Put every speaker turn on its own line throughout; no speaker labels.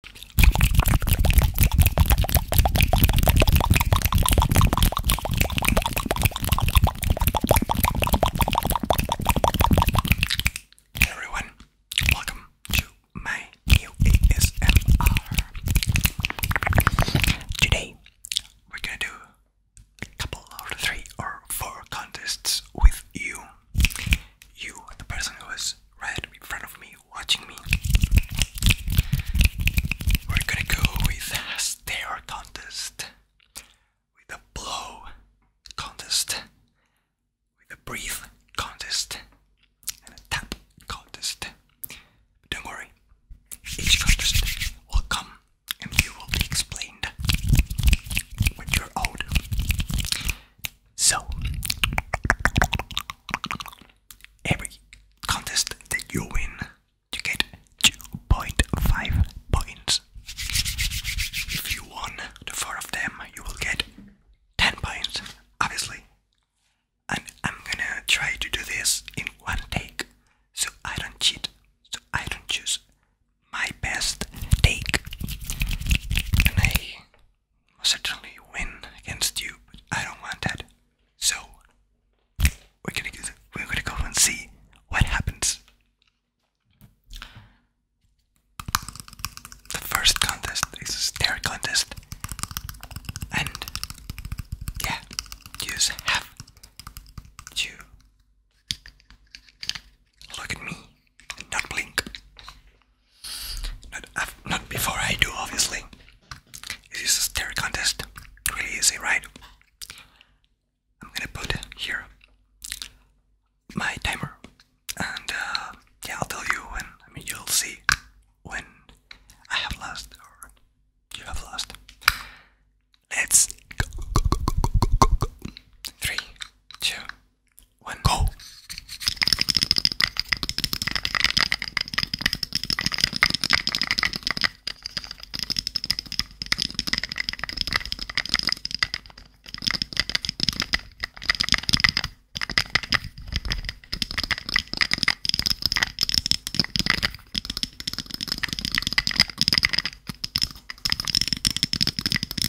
Hey everyone, welcome to my new ASMR. Today we're gonna do a couple or three or four contests with you. You, the person who is right in front of me watching me. We're gonna go with a stare contest, with a blow contest, with a breathe contest, and a tap contest. don't worry, each contest will come and you will be explained when you're old. So, every contest that you win, you get 2.5 points. If you won the four of them, you will get 10 points, obviously. And I'm gonna try to do this in one take so I don't cheat, so I don't choose my best take. And certainly win against you, but I don't want that. So we're gonna go, we're gonna go and see what happens. The first contest is a stare contest, and yeah, you just have to look at me and not blink. Not, before I do, obviously. This is a stare contest. Really easy, right? I'm gonna put here my timer, and uh, yeah, I'll tell you when. I mean, you'll see when I have lost or you have lost. Let's go. go. Three, two. One go.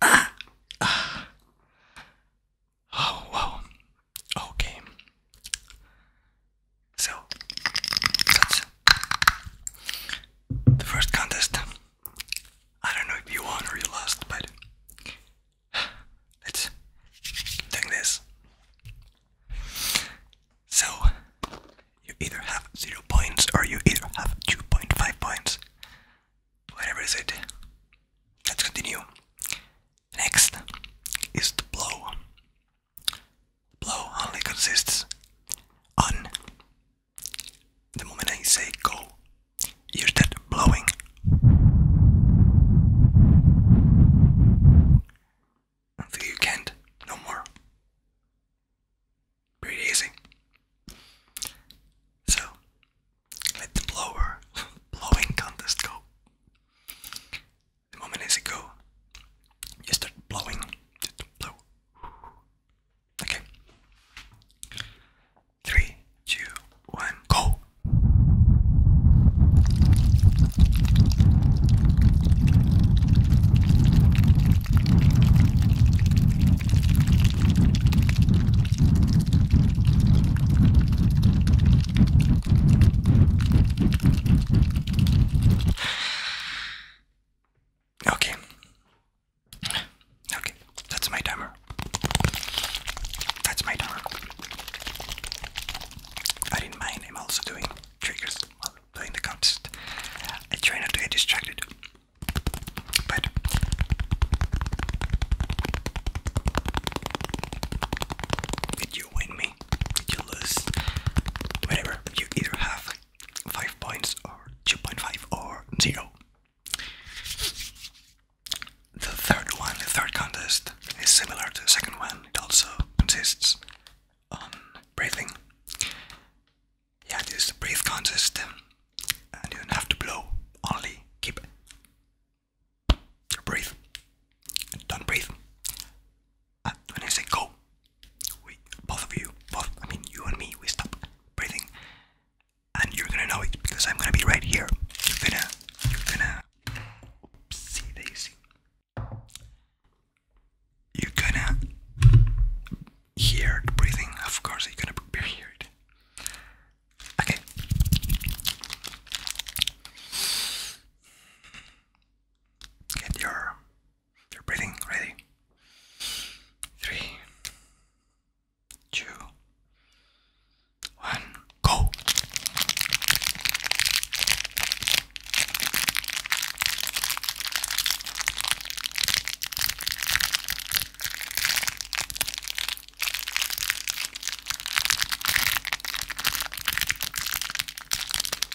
Ah. Ah. Oh, wow. Okay. So, that's the first contest. I don't know if you won or you lost, but let's keep this. So, you either have 0 points or you either have 2.5 points. Whatever is it. Let's continue. Next is the blow. Blow only consists on the moment I say go. Hear that blowing. Until you can't, no more. Pretty easy. So, let the blower blowing contest go. A moment as it you start blowing. Okay. Three, two, one, go. Okay. Okay, that's my timer. That's my timer. I didn't I'm also doing triggers while playing the contest. I try not to get distracted. But it you win me, you lose, whatever. You either have five points or two point five or zero. The third one, the third contest, is similar to the second one. It also consists on breathing. Yeah, this is a breathe contest, and don't have to blow. Only keep breathe. don't breathe. And uh, when I say go, we both of you, both I mean you and me, we stop breathing, and you're gonna know it because I'm gonna be right here. You're gonna, you're gonna, oopsie daisy. You're gonna hear the breathing. Of course, you're gonna hear it. Okay. Get your your breathing ready. Three, two, one, go.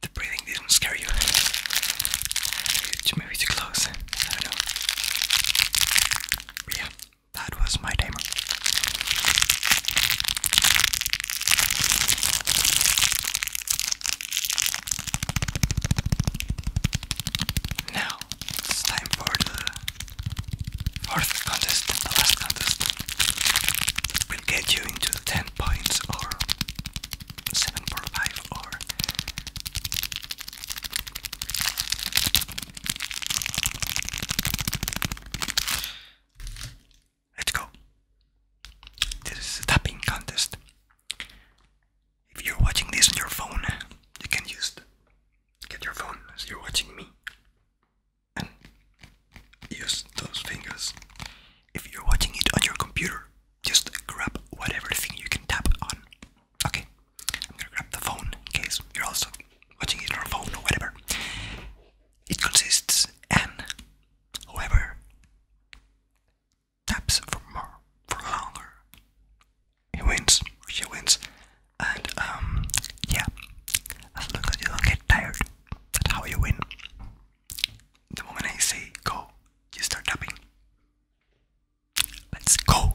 the breathing didn't scare you. Maybe too close. I don't know. yeah, that was my timer. Now it's time for the fourth contest, the last contest we will get you into the 10 points or seven four five or let's go. This is a tapping contest. If you're watching this on your phone, you can just get your phone as you're watching me and use those fingers. If you're watching it on your computer, just grab whatever thing you can tap on. Okay, I'm gonna grab the phone in case you're also watching it on a phone or whatever. It consists and whoever taps for more for longer, he wins she wins. And um, yeah, as long as you don't get tired, that's how you win the moment I say go, you start tapping. Let's go.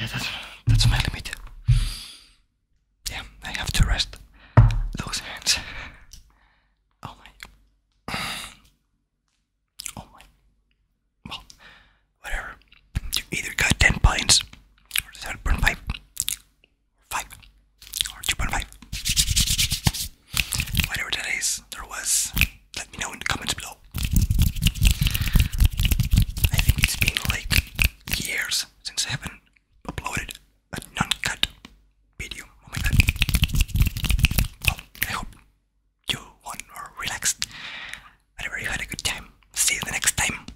yeah, that's that's my limit. Yeah, I have to rest those hands. Oh my. Oh my. Well, whatever. You either got 10 pints, or 7.5, 5, or 2.5. Whatever that is, there was let me know in the comments below. I think it's been like years since I haven't uploaded a non-cut video. Oh I hope you won or relaxed. I really had a good time. See you the next time.